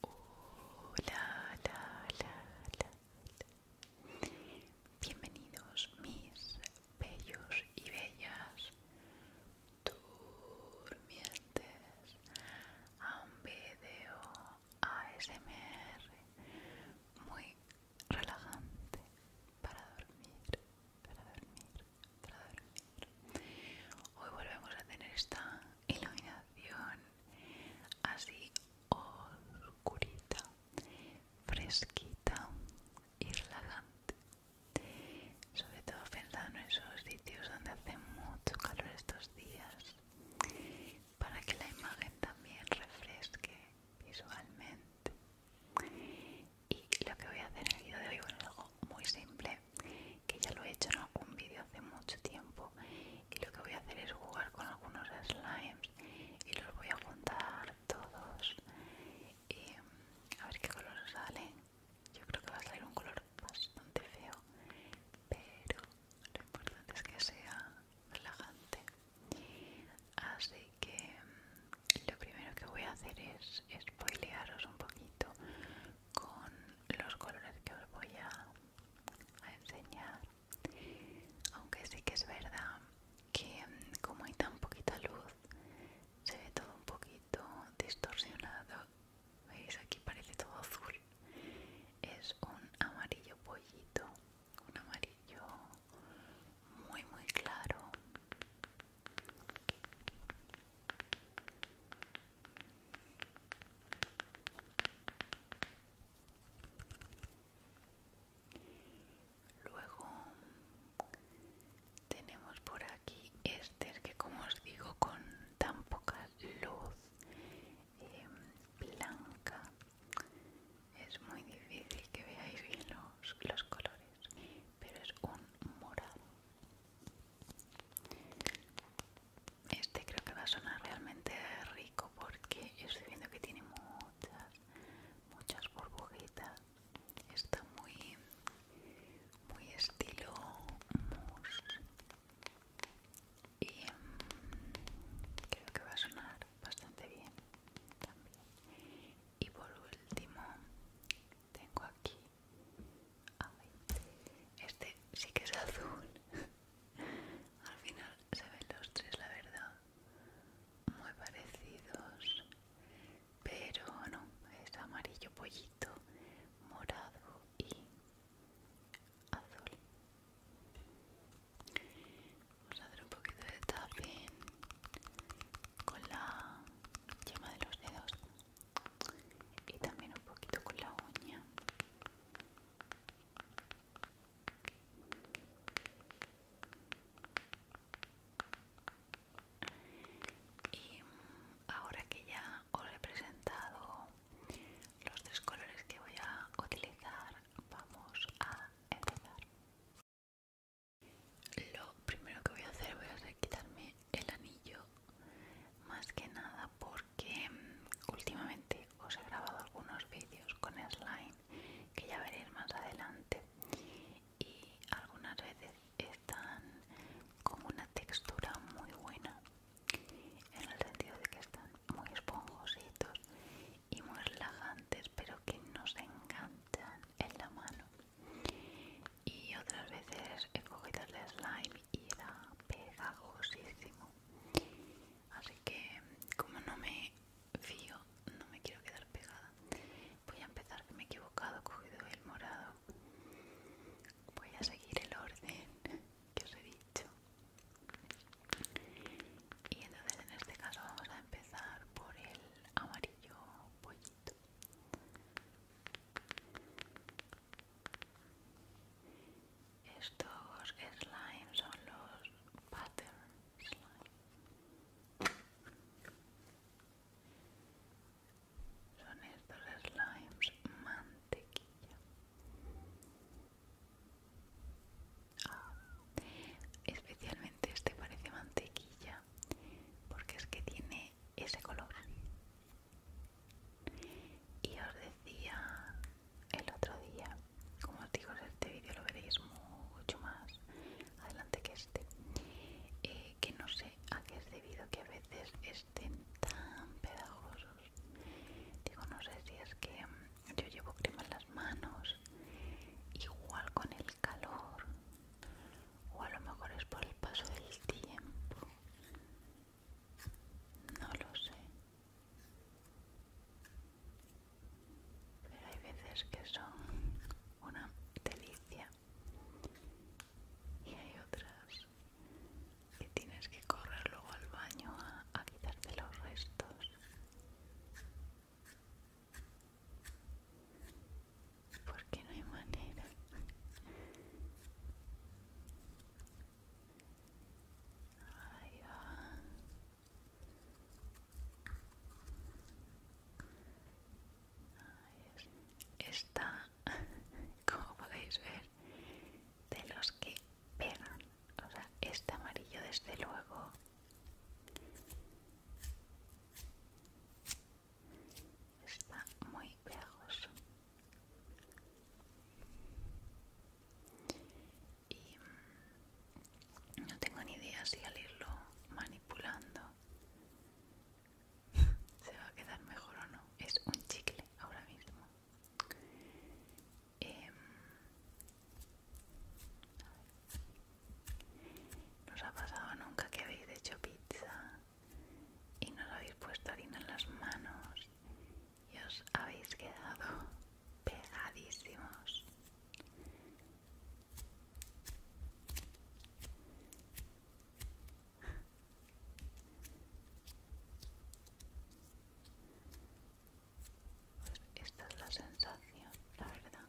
Hola, Bienvenidos mis bellos y bellas durmientes a un video ASMR muy relajante para dormir, para dormir, para dormir. Hoy volvemos a tener esta iluminación así oscurita, fresquita y relajante. Sobre todo pensando en esos sitios donde hace mucho calor estos días, para que la imagen también refresque visualmente. Y lo que voy a hacer en el video de hoy, es algo muy simple que ya lo he hecho en algún vídeo hace mucho tiempo y lo que voy a hacer es jugar con algunos slimes y los voy a juntar todos y a ver qué color sale yo creo que va a salir un color bastante feo pero lo importante es que sea relajante así que mm, lo primero que voy a hacer es spoilearos un poquito con los colores que os voy a, enseñar aunque sí que es verdad que mm, como hay tan poquita luz se ve todo un poquito distorsionado veis aquí parece todo azul es un amarillo pollito un amarillo muy muy claro Luego tenemos por aquí este que como os digo con tan poca luz em, blanca es muy difícil que veáis bien los colores, pero es un morado este creo que va a sonar realmente rico porque estoy viendo que tiene muchas, muchas burbujitas. Está muy, muy estilo mousse. Y mm, creo que va a sonar bastante bien también. Y por último, tengo aquí este sí que es azul. Al final se ven los tres, la verdad, muy parecidos. Pero no, es amarillo pollito, morado y azul. Vamos a hacer un poquito de tapping con la yema de los dedos y también un poquito con la uña y ahora que ya os he presentado los tres colores que voy a utilizar vamos a empezar lo primero que voy a hacer voy a quitarme el anillo más que nada porque mm, últimamente os he grabado algunos vídeos con slime que ya veréis más adelante y algunas veces están con una textura muy buena en el sentido de que están muy esponjositos y muy relajantes pero que nos encantan en la mano y otras veces he cogido el slime y era pegajosísimo así que como no me fío no me quiero quedar pegada voy a empezar que me he equivocado he cogido el morado voy a seguir el orden que os he dicho y entonces en este caso vamos a empezar por el amarillo pollito estos slimes son los pattern slime. Son estos slimes mantequilla. Ah, especialmente este parece mantequilla porque es que tiene ese color Y os decía el otro día, como os digo, este vídeo lo veréis mucho más adelante que este, eh, que no sé a qué es debido que a veces estén tan pedagogosos Digo, no sé si es que mm, yo llevo crema en las manos, igual con el calor o a lo mejor es por el paso del tiempo no lo sé pero hay veces que son una delicia y hay otras que tienes que correr luego al baño a, quitarte los restos porque no hay manera. Ah. Está, como podéis ver, de los que pegan. O sea, este amarillo desde luego está muy pegajoso y mm, no tengo ni idea si al irlo manipulando se va a quedar mejor o no es un chicle ahora mismo em, no os ha pasado nunca que habéis hecho pizza y no lo habéis puesto harina en las manos y os habéis quedado pegadísimos. Pues esta es la sensación, la verdad.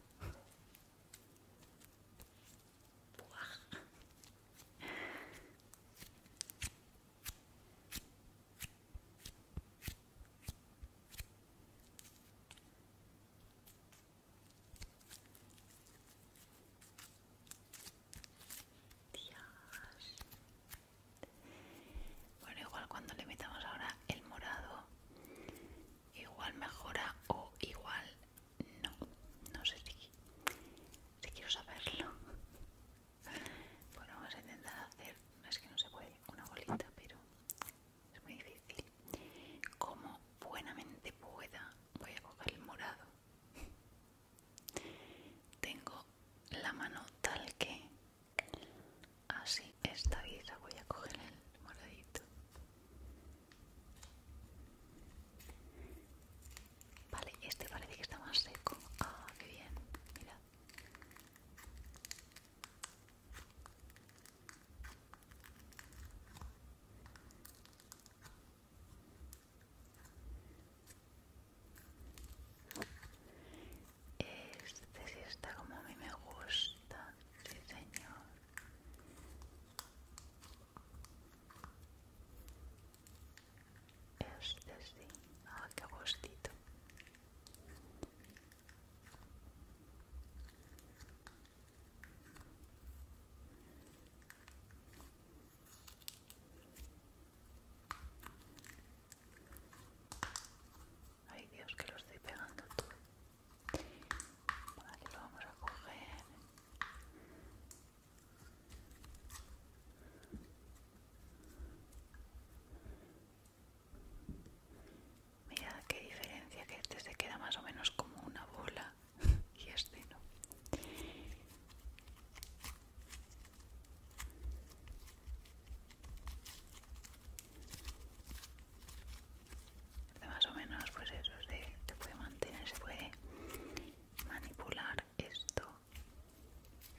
Bueno, igual cuando le metamos ahora el morado, igual mejora o igual no, no sé si, quiero saberlo. Bueno, vamos a intentar hacer, es que no se puede, una bolita, pero es muy difícil. Como buenamente pueda, voy a coger el morado. Tengo la mano tal que así, esta voy a coger el moradito Vale, este parece que está más seco. Ah, qué bien, mira Este sí está como a mí me gusta, sí señor. Este sí, ah, qué Ay Dios, que lo estoy pegando Mira vamos a coger. qué diferencia que este se queda más o menos como una bola y este no más o menos pues eso se, puede mantener, se puede manipular esto.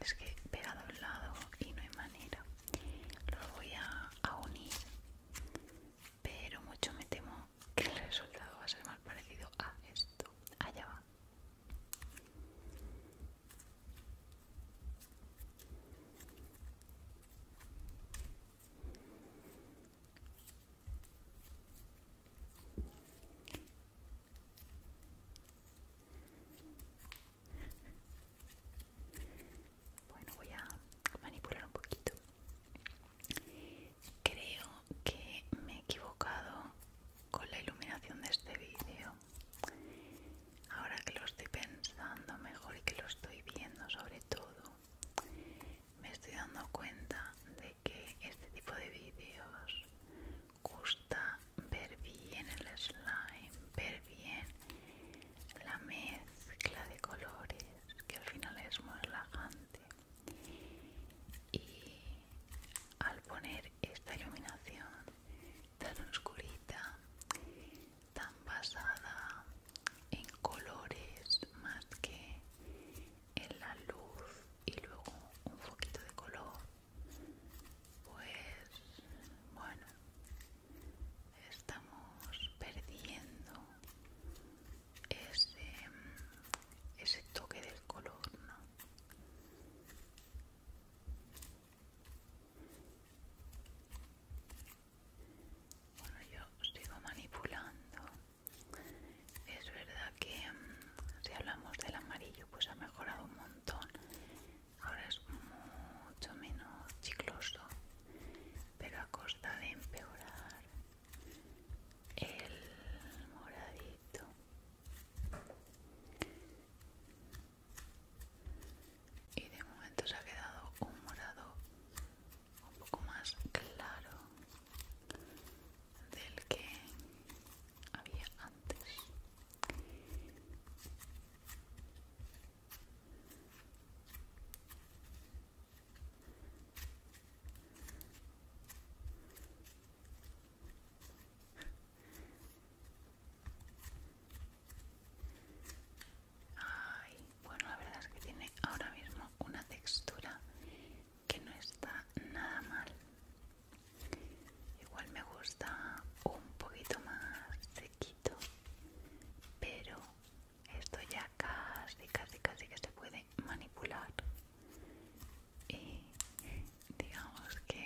Es que pegado al lado y no hay manera. Lo voy a, a unir, pero mucho me temo que el resultado va a ser más parecido a esto. Allá va. Bueno, voy a manipular un poquito. Creo que me he equivocado con la iluminación de este vídeo. Ahora que lo estoy pensando mejor y que lo estoy viendo sobre todo me estoy dando cuenta de que este tipo de vídeos gusta ver bien el slime, ver bien la mezcla de colores, que al final es muy relajante. Y al poner esta iluminación tan oscurita, tan basada en colores más que en la luz y luego un poquito de color pues bueno estamos perdiendo ese, ese toque del color ¿no? Bueno, yo sigo manipulando. Es verdad que mm, si hablamos del amarillo, pues ha mejorado un montón. Ahora es mucho menos chicloso, pero a costa de empeorar el moradito. Y de momento se ha quedado un morado un poco más claro del que había antes bueno, la verdad es que tiene ahora mismo una textura que no está nada mal. Igual me gusta un poquito más sequito, pero esto ya casi, casi, casi que se puede manipular. Y digamos que,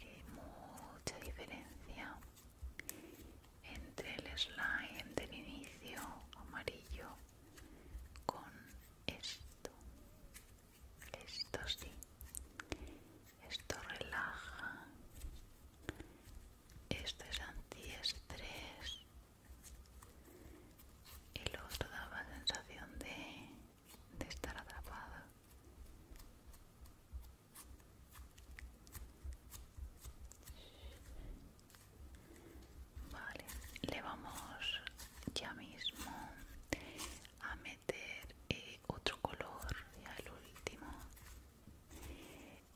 hay eh, mucha diferencia entre el slime del inicio amarillo con esto esto sí esto relaja esto es antiestrés el otro daba sensación de, de estar atrapado Vale, le vamos ya mismo a meter eh, otro color, ya el último.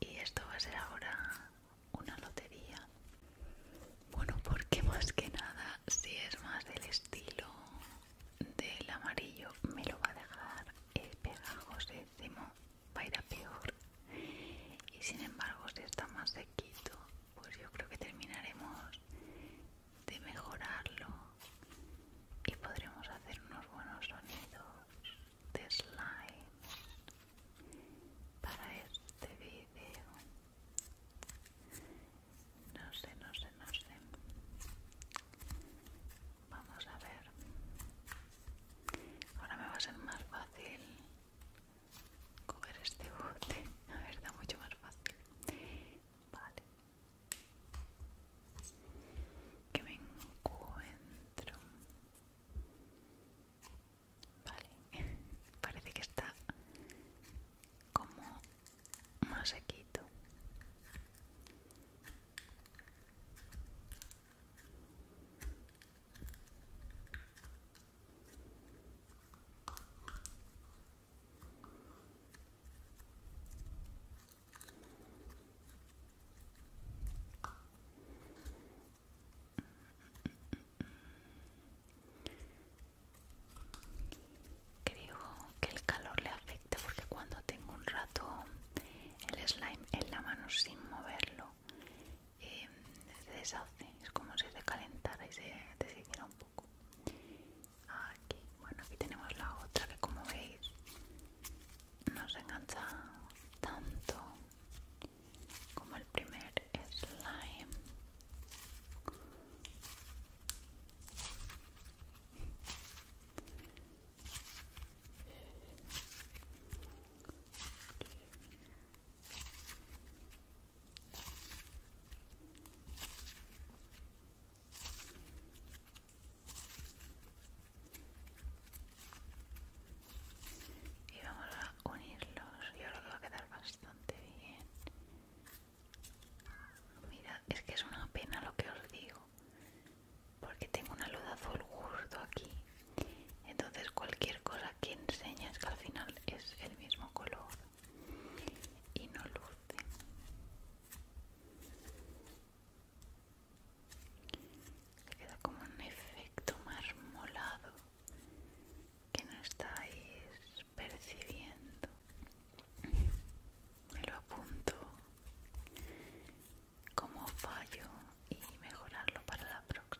Y esto va a ser ahora una lotería. Bueno, porque más que nada, si es más del estilo del amarillo, me lo va a dejar el pegajos, va a ir a peor y sin embargo si está más sequito pues yo creo que terminaremos de mejorarlo y podremos hacer unos buenos sonidos de slime para este vídeo no sé no sé no sé Vamos a ver. Ahora me va a ser más fácil coger este bote. A ver, está mucho más fácil. Vale. Que me encuentro. Vale. Parece que está como más sequito. Creo que el calor le afecta porque cuando tengo un rato el slime en la mano sin moverlo eh, se deshace, es como si se calentara y se deshiciera un poco. Aquí, bueno, aquí tenemos la otra que como veis no se engancha tanto como el primer slime y vamos a unirlos y ahora va a quedar bastante bien mira es que es una pena lo que os digo porque tengo una luz azul justo aquí entonces cualquier cosa que enseñas que al final es el mismo color y no luce queda como un efecto molado que no estáis percibiendo me lo apunto como fallo y mejorarlo para la próxima.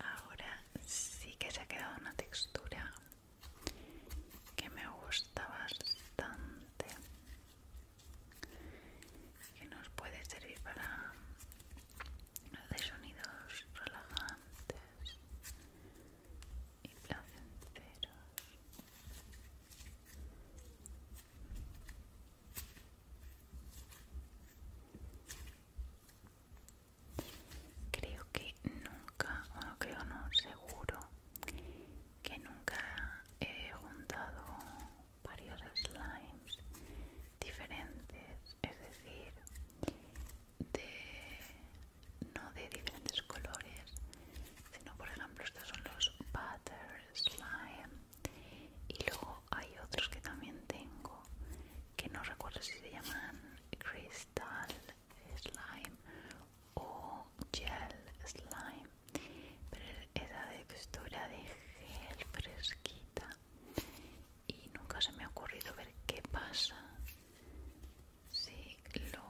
Ahora sí que se ha quedado una textura que me gusta bastante, que nos puede servir para hacer sonidos relajantes y Creo que nunca, bueno creo no, seguro que nunca he juntado varios slimes diferentes, es decir, de no de diferentes colores sino por ejemplo estos son los butter slime y luego hay otros que también tengo que no recuerdo si se llaman crystal slime o gel slime pero es esa textura de gel fresquita y nunca se me ha ocurrido ver qué pasa si lo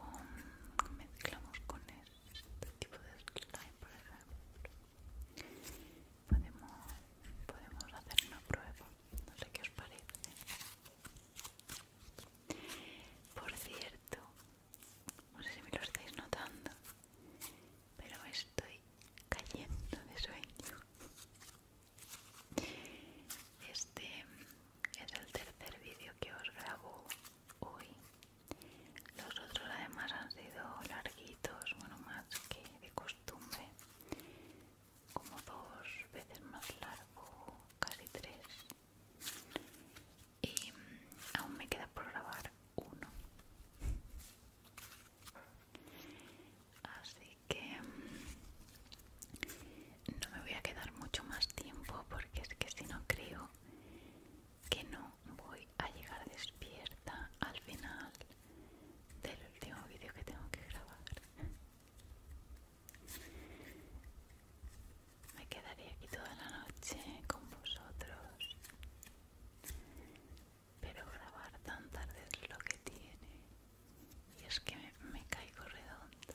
mezclamos con este tipo de slime por ejemplo podemos, podemos hacer una prueba no sé qué os parece por cierto no sé si me lo estáis notando pero estoy cayendo de sueño este es el tercer vídeo que os grabo hoy. Los otros además han sido larguitos, bueno, más que de costumbre, como dos veces más largo, casi tres. Y aún me queda por grabar uno. Así que mm, no me voy a quedar mucho más tiempo porque es que si no creo que no voy a llegar despierta al final del último vídeo que tengo que grabar. Me quedaría aquí toda la noche con vosotros, pero grabar tan tarde es lo que tiene y es que me, caigo redondo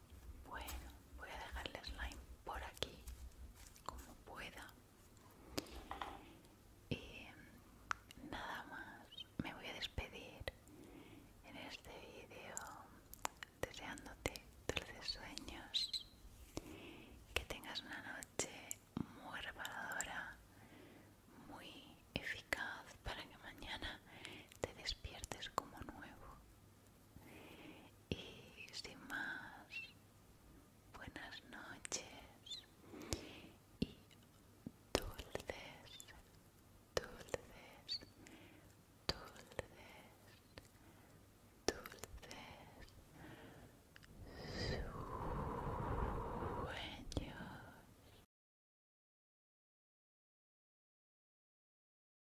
Bueno, voy a dejar el slime por aquí, como pueda. Y eh, nada más, me voy a despedir en este vídeo deseándote dulces sueños, que tengas una noche muy reparadora, muy eficaz para que mañana te despiertes como nuevo y sin más, buenas noches y dulces, dulces, dulces, dulces sueños.